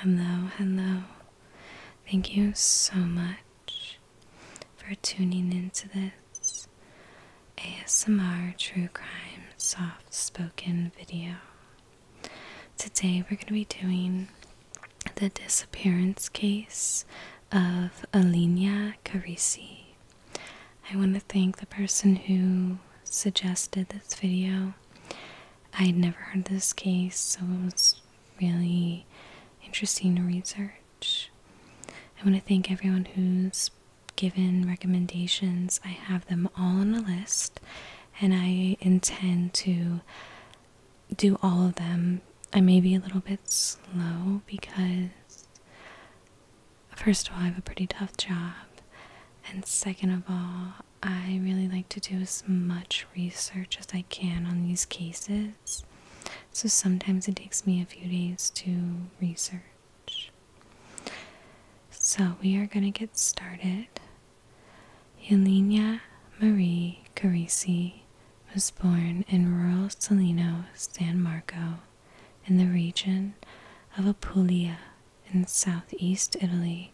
Hello, hello. Thank you so much for tuning into this ASMR True Crime Soft Spoken video. Today we're going to be doing the disappearance case of Alinia Carisi. I want to thank the person who suggested this video. I had never heard of this case, so it was really interesting to research. I want to thank everyone who's given recommendations. I have them all on a list, and I intend to do all of them. I may be a little bit slow because, first of all, I have a pretty tough job, and second of all, I really like to do as much research as I can on these cases. So sometimes it takes me a few days to research. So we are going to get started. Helena Marie Carisi was born in rural Salino, San Marco, in the region of Apulia, in southeast Italy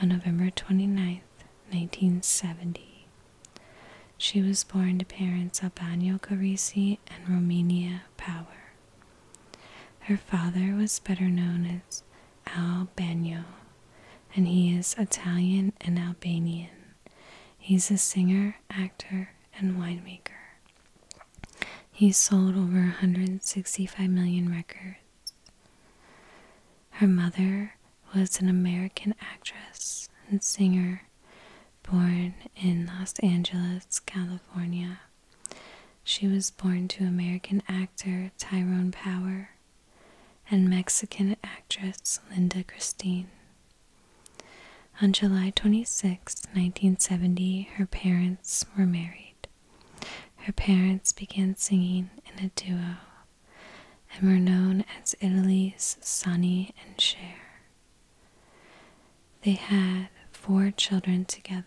on November 29, 1970. She was born to parents Albano Carisi and Romania Power. Her father was better known as Al Bagno, and he is Italian and Albanian. He's a singer, actor, and winemaker. He sold over 165 million records her mother was an American actress and singer born in Los Angeles, California. She was born to American actor Tyrone Power and Mexican actress Linda Christine. On July 26, 1970, her parents were married. Her parents began singing in a duo and were known as Italy's Sonny and Cher. They had four children together.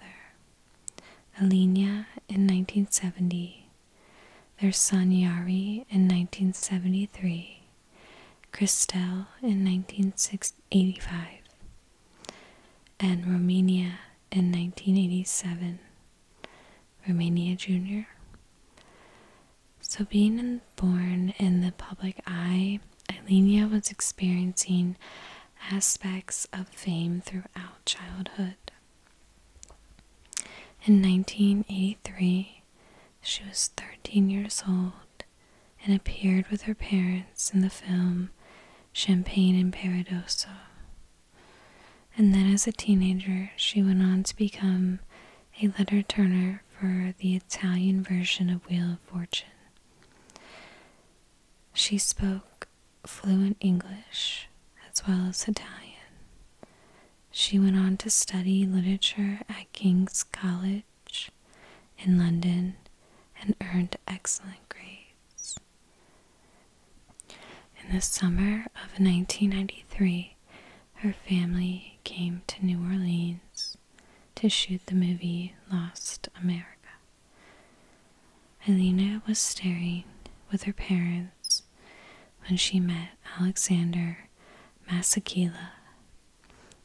Alenia in 1970, their son Yari in 1973, Christelle in 1985, and Romania in 1987, Romania Jr. So, being born in the public eye, Eilenia was experiencing aspects of fame throughout childhood. In 1983, she was 13 years old and appeared with her parents in the film Champagne in Paradiso. And then as a teenager, she went on to become a letter turner for the Italian version of Wheel of Fortune. She spoke fluent English as well as Italian. She went on to study literature at King's College in London and earned excellent grades. In the summer of 1993, her family came to New Orleans to shoot the movie Lost America. Elena was staring with her parents when she met Alexander Masakila.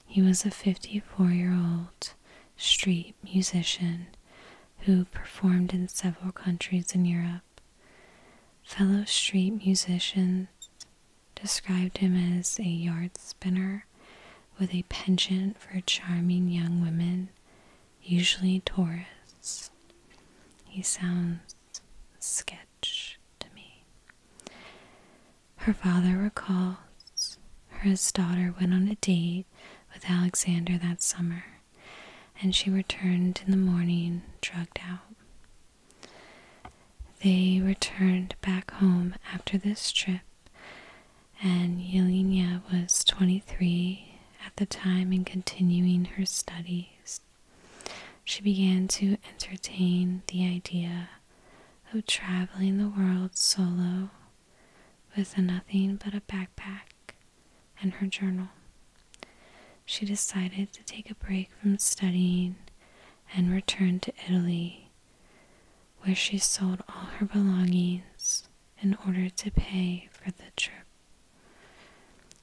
He was a 54 year old street musician who performed in several countries in Europe. Fellow street musicians described him as a yard spinner with a penchant for charming young women, usually tourists. He sounds sketch to me. Her father recalls her his daughter went on a date with Alexander that summer and she returned in the morning, drugged out. They returned back home after this trip, and Yelena was 23 at the time and continuing her studies. She began to entertain the idea of traveling the world solo with nothing but a backpack and her journal. She decided to take a break from studying and return to Italy, where she sold all her belongings in order to pay for the trip.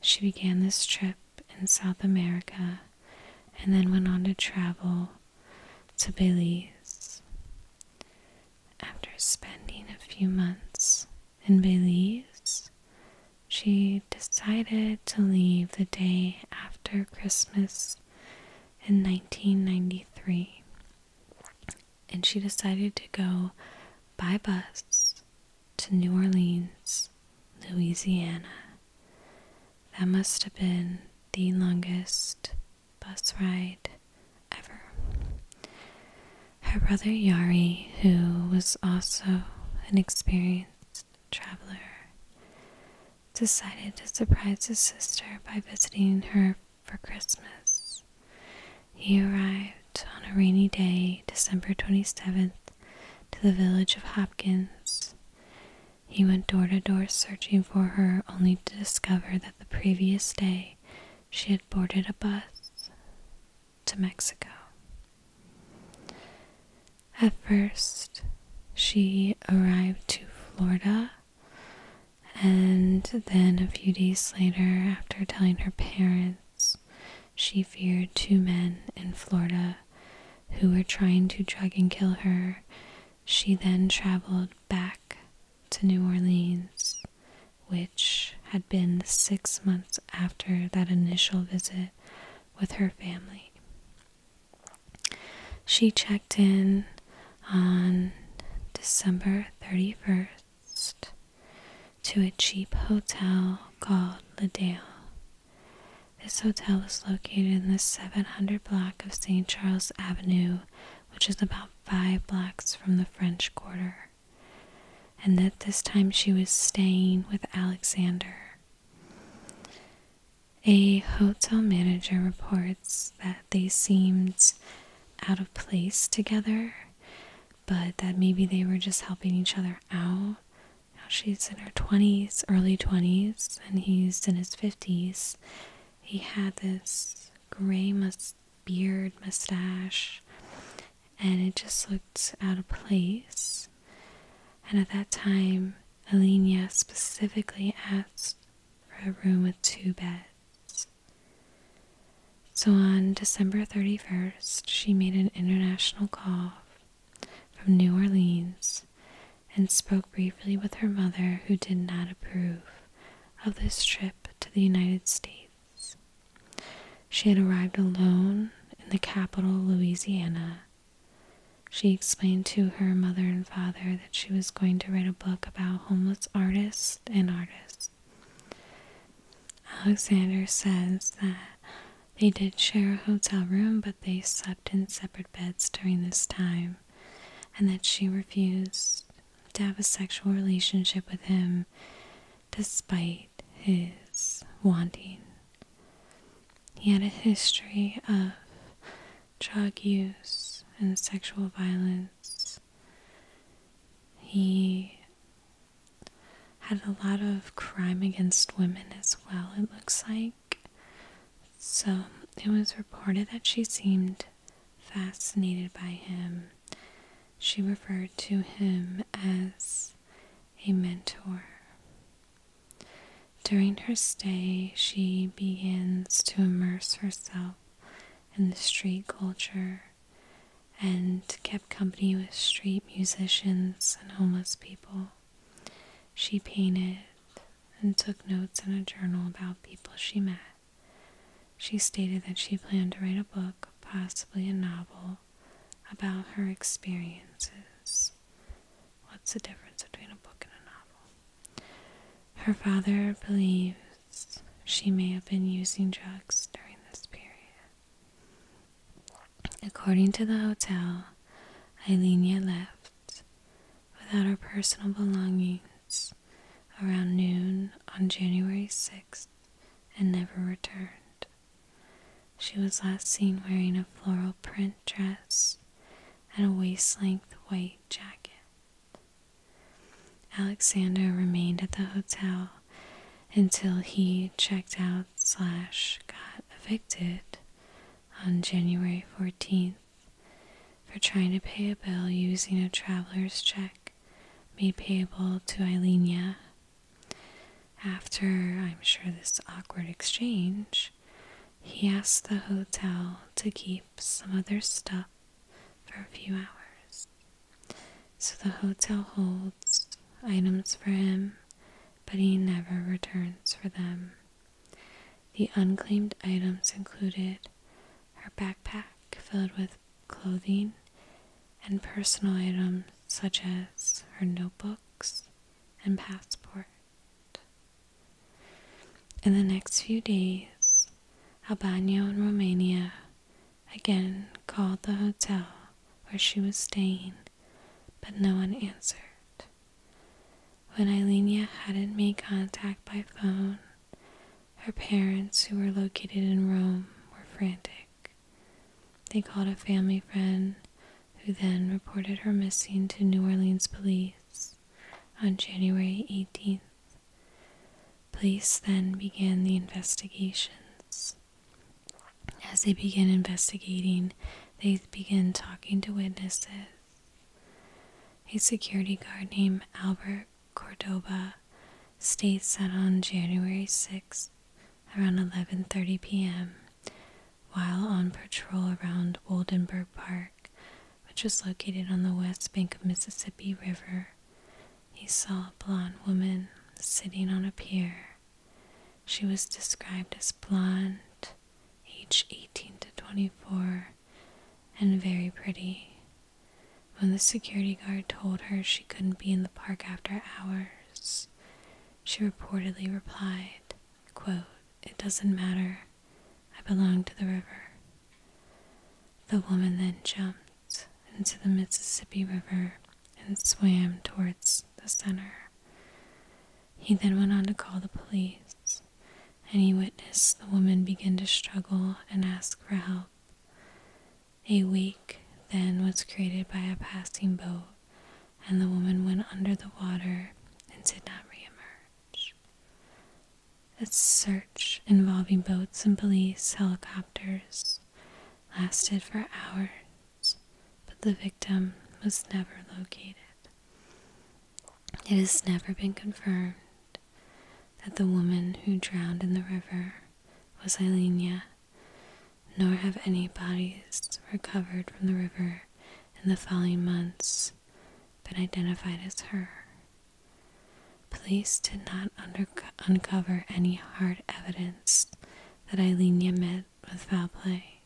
She began this trip in South America and then went on to travel to Belize. After spending a few months in Belize, she decided to leave the day after Christmas in 1993. And she decided to go by bus to New Orleans, Louisiana. That must have been the longest bus ride ever. Her brother Yari, who was also an experienced traveler, decided to surprise his sister by visiting her for Christmas. He arrived on a rainy day, December 27th, to the village of Hopkins. He went door to door searching for her, only to discover that the previous day she had boarded a bus to Mexico. At first, she arrived to Florida, and then a few days later, after telling her parents, she feared two men in Florida who were trying to drug and kill her. She then traveled back to New Orleans which had been six months after that initial visit with her family. She checked in on December 31st to a cheap hotel called Dale. This hotel is located in the 700 block of St. Charles Avenue, which is about five blocks from the French Quarter and that this time she was staying with Alexander. A hotel manager reports that they seemed out of place together, but that maybe they were just helping each other out. Now she's in her 20s, early 20s, and he's in his 50s. He had this gray must beard, mustache, and it just looked out of place. And at that time, Alenia specifically asked for a room with two beds. So on December 31st, she made an international call from New Orleans and spoke briefly with her mother, who did not approve of this trip to the United States. She had arrived alone in the capital, Louisiana. She explained to her mother and father that she was going to write a book about homeless artists and artists. Alexander says that they did share a hotel room, but they slept in separate beds during this time, and that she refused to have a sexual relationship with him despite his wanting. He had a history of drug use and sexual violence. He had a lot of crime against women as well, it looks like. So it was reported that she seemed fascinated by him. She referred to him as a mentor. During her stay, she begins to immerse herself in the street culture and kept company with street musicians and homeless people. She painted and took notes in a journal about people she met. She stated that she planned to write a book, possibly a novel, about her experiences. What's the difference between a book and a novel? Her father believes she may have been using drugs during this period. According to the hotel, Eilenia left without her personal belongings around noon on January 6th and never returned. She was last seen wearing a floral print dress and a waist length white jacket. Alexander remained at the hotel until he checked out slash got evicted on January 14th for trying to pay a bill using a traveler's check made payable to Eilenia after, I'm sure, this awkward exchange, he asks the hotel to keep some other stuff for a few hours. So the hotel holds items for him, but he never returns for them. The unclaimed items included her backpack filled with clothing and personal items such as her notebooks and passport. In the next few days, Albano in Romania again called the hotel where she was staying, but no one answered. When Ilenia hadn't made contact by phone, her parents, who were located in Rome, were frantic. They called a family friend who then reported her missing to New Orleans police on January 18th. Police then began the investigations. As they begin investigating, they begin talking to witnesses. A security guard named Albert Cordoba states that on January 6, around 11:30 p.m. while on patrol around Oldenburg Park, which is located on the west bank of Mississippi River. He saw a blonde woman sitting on a pier. She was described as blonde, age 18 to 24, and very pretty. When the security guard told her she couldn't be in the park after hours, she reportedly replied, It doesn't matter. I belong to the river. The woman then jumped into the Mississippi River and swam towards the center. He then went on to call the police, and he witnessed the woman begin to struggle and ask for help. A wake then was created by a passing boat, and the woman went under the water and did not reemerge. A search involving boats and police helicopters lasted for hours, but the victim was never located. It has never been confirmed that the woman who drowned in the river was Eilenia nor have any bodies recovered from the river in the following months been identified as her. Police did not uncover any hard evidence that Eileen Yamit was foul play.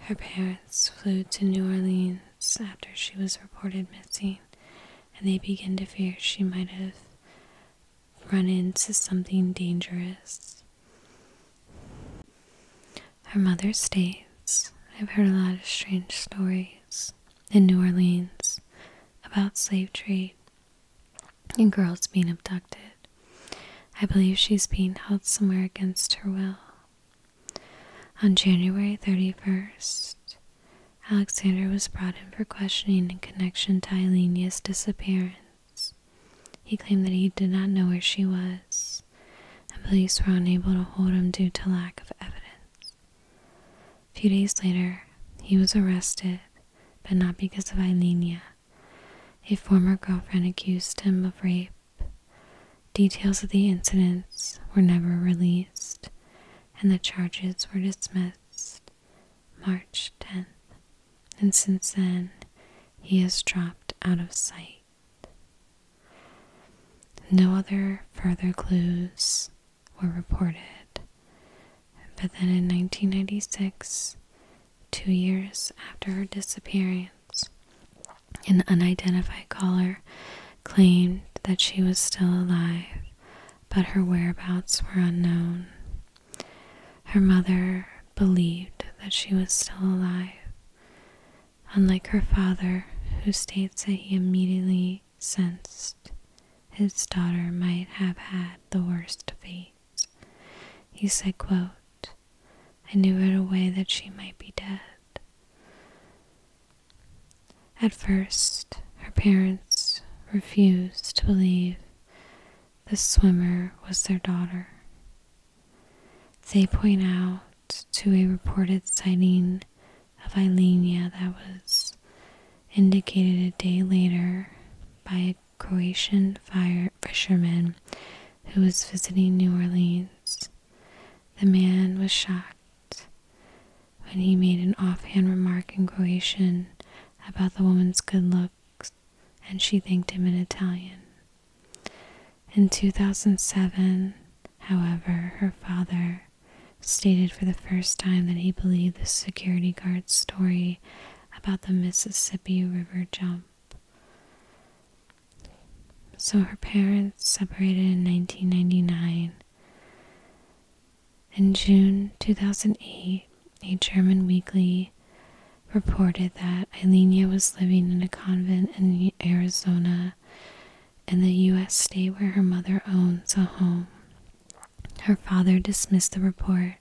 Her parents flew to New Orleans after she was reported missing, and they began to fear she might have run into something dangerous. Her mother states, I've heard a lot of strange stories in New Orleans about slave trade and girls being abducted. I believe she's being held somewhere against her will. On January 31st, Alexander was brought in for questioning in connection to Eileen's disappearance. He claimed that he did not know where she was, and police were unable to hold him due to lack of evidence. A few days later, he was arrested, but not because of Ilenia. A former girlfriend accused him of rape. Details of the incidents were never released, and the charges were dismissed March 10th and since then he has dropped out of sight. No other further clues were reported, but then in 1996, two years after her disappearance, an unidentified caller claimed that she was still alive, but her whereabouts were unknown. Her mother believed that she was still alive, unlike her father, who states that he immediately sensed his daughter might have had the worst fate. He said, quote, I knew right away that she might be dead. At first, her parents refused to believe the swimmer was their daughter. They point out to a reported sighting of Eilenia that was indicated a day later by a Croatian fisherman who was visiting New Orleans. The man was shocked when he made an offhand remark in Croatian about the woman's good looks and she thanked him in Italian. In 2007, however, her father stated for the first time that he believed the security guard's story about the Mississippi River jump. So her parents separated in 1999. In June 2008, a German weekly reported that Eilenia was living in a convent in Arizona in the U.S. state where her mother owns a home. Her father dismissed the report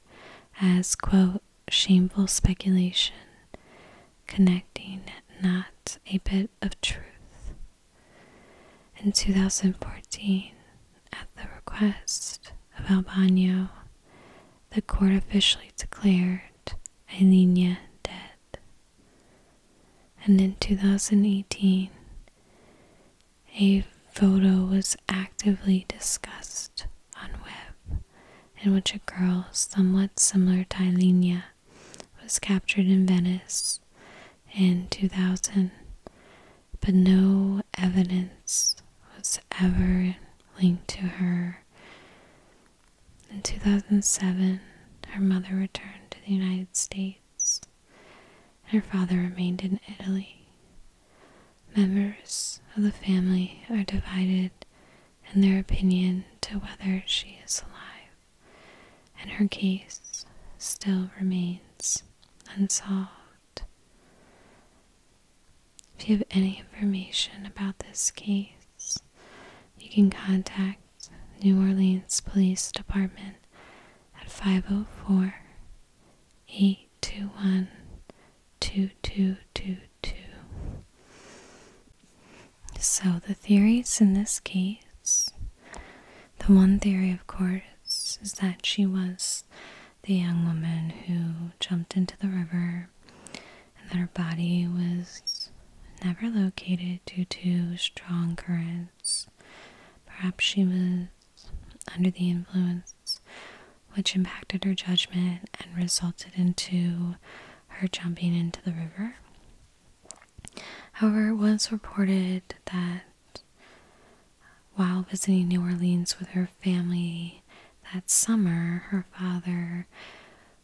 as, quote, shameful speculation, connecting not a bit of truth. In 2014, at the request of Albano, the court officially declared Alinea dead. And in 2018, a photo was actively discussed on web in which a girl somewhat similar to Alinea was captured in Venice in 2000, but no evidence was ever linked to her. In 2007, her mother returned to the United States, and her father remained in Italy. Members of the family are divided in their opinion to whether she is alive, and her case still remains unsolved. If you have any information about this case, you can contact New Orleans Police Department at 504 821 2222. So, the theories in this case the one theory, of course, is that she was the young woman who jumped into the river and that her body was never located due to strong currents. Perhaps she was under the influence, which impacted her judgment and resulted into her jumping into the river. However, it was reported that while visiting New Orleans with her family that summer, her father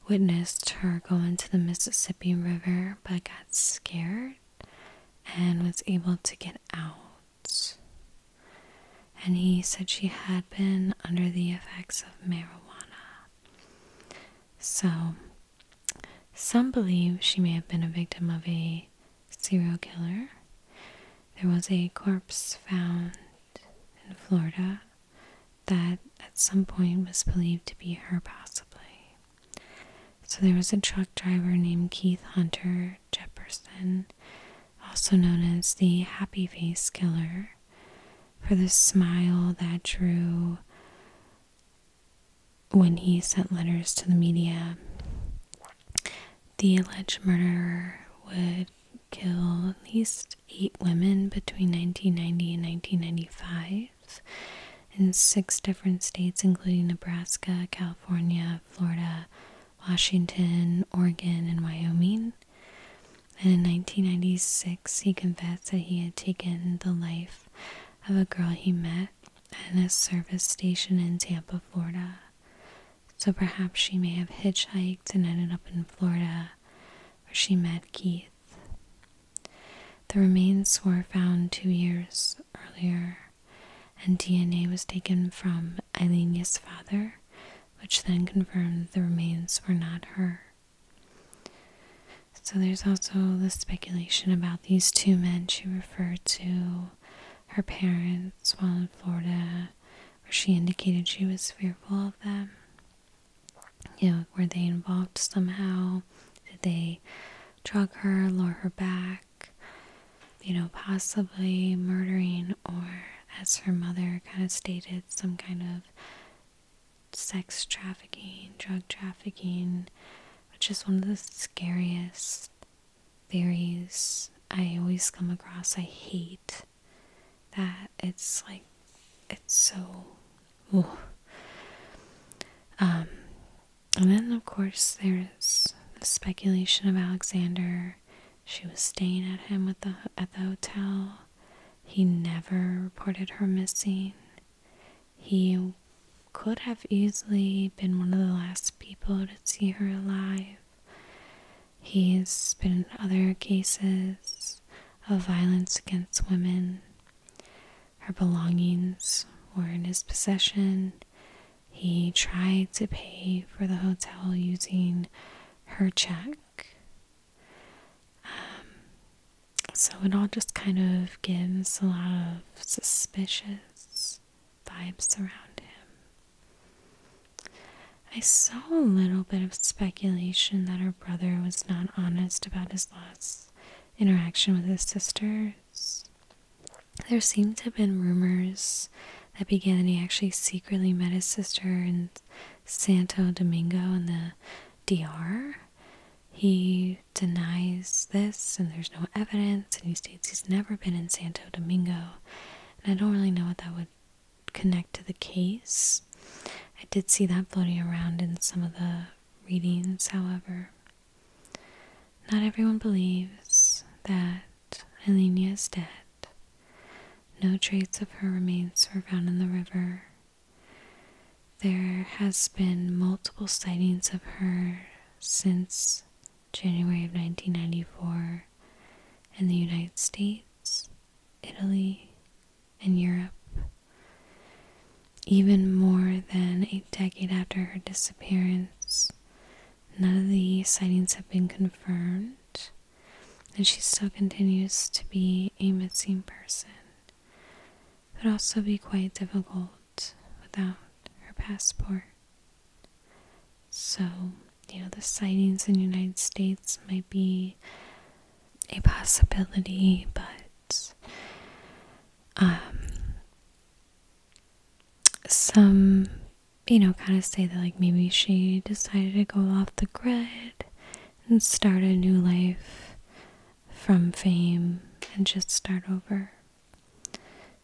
witnessed her going to the Mississippi River but got scared and was able to get out. And he said she had been under the effects of marijuana. So, some believe she may have been a victim of a serial killer. There was a corpse found in Florida that at some point was believed to be her, possibly. So there was a truck driver named Keith Hunter Jepperson, also known as the Happy Face Killer, for the smile that drew when he sent letters to the media. The alleged murderer would kill at least eight women between 1990 and 1995 in six different states, including Nebraska, California, Florida, Washington, Oregon, and Wyoming. And in 1996, he confessed that he had taken the life of a girl he met at a service station in Tampa, Florida. So perhaps she may have hitchhiked and ended up in Florida, where she met Keith. The remains were found two years earlier, and DNA was taken from Eileen's father, which then confirmed the remains were not her. So there's also the speculation about these two men she referred to, her parents while in Florida, where she indicated she was fearful of them. You know, were they involved somehow? Did they drug her, lure her back? You know, possibly murdering, or as her mother kind of stated, some kind of sex trafficking, drug trafficking, which is one of the scariest theories I always come across. I hate that it's like it's so ooh. Um, and then of course there's the speculation of Alexander she was staying at him with the at the hotel he never reported her missing he could have easily been one of the last people to see her alive He's been in other cases of violence against women. Her belongings were in his possession. He tried to pay for the hotel using her check. Um, so it all just kind of gives a lot of suspicious vibes around him. I saw a little bit of speculation that her brother was not honest about his last interaction with his sisters. There seemed to have been rumors that began that he actually secretly met his sister in Santo Domingo in the DR. He denies this, and there's no evidence, and he states he's never been in Santo Domingo. And I don't really know what that would connect to the case. I did see that floating around in some of the readings, however. Not everyone believes that Elena is dead. No traces of her remains were found in the river. There has been multiple sightings of her since January of 1994 in the United States Italy, and Europe. Even more than a decade after her disappearance, none of the sightings have been confirmed, and she still continues to be a missing person. It would also be quite difficult without her passport. So, you know, the sightings in the United States might be a possibility, but um, some, you know, kind of say that like maybe she decided to go off the grid and start a new life from fame and just start over.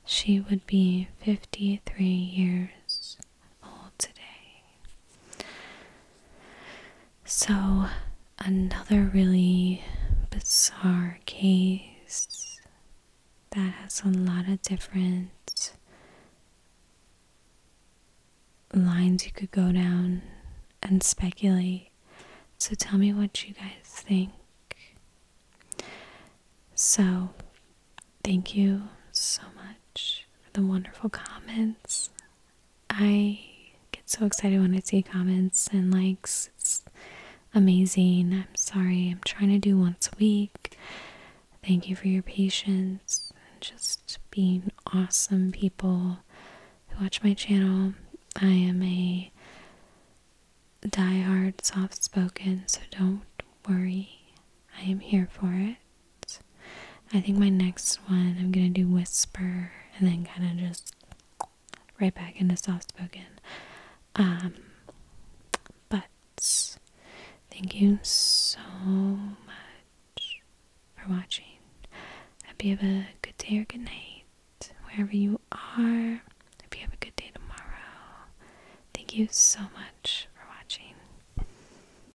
She would be 53 years today. So, another really bizarre case that has a lot of different lines you could go down and speculate. So, tell me what you guys think. So, thank you so much for the wonderful comments. I get so excited when I see comments and likes. It's amazing. I'm sorry. I'm trying to do once a week. Thank you for your patience and just being awesome people who watch my channel. I am a die-hard, soft spoken, so don't worry. I am here for it. I think my next one I'm gonna do whisper and then kind of just right back into soft spoken. Um, but thank you so much for watching. Hope you have a good day or good night wherever you are. Hope you have a good day tomorrow. Thank you so much for watching.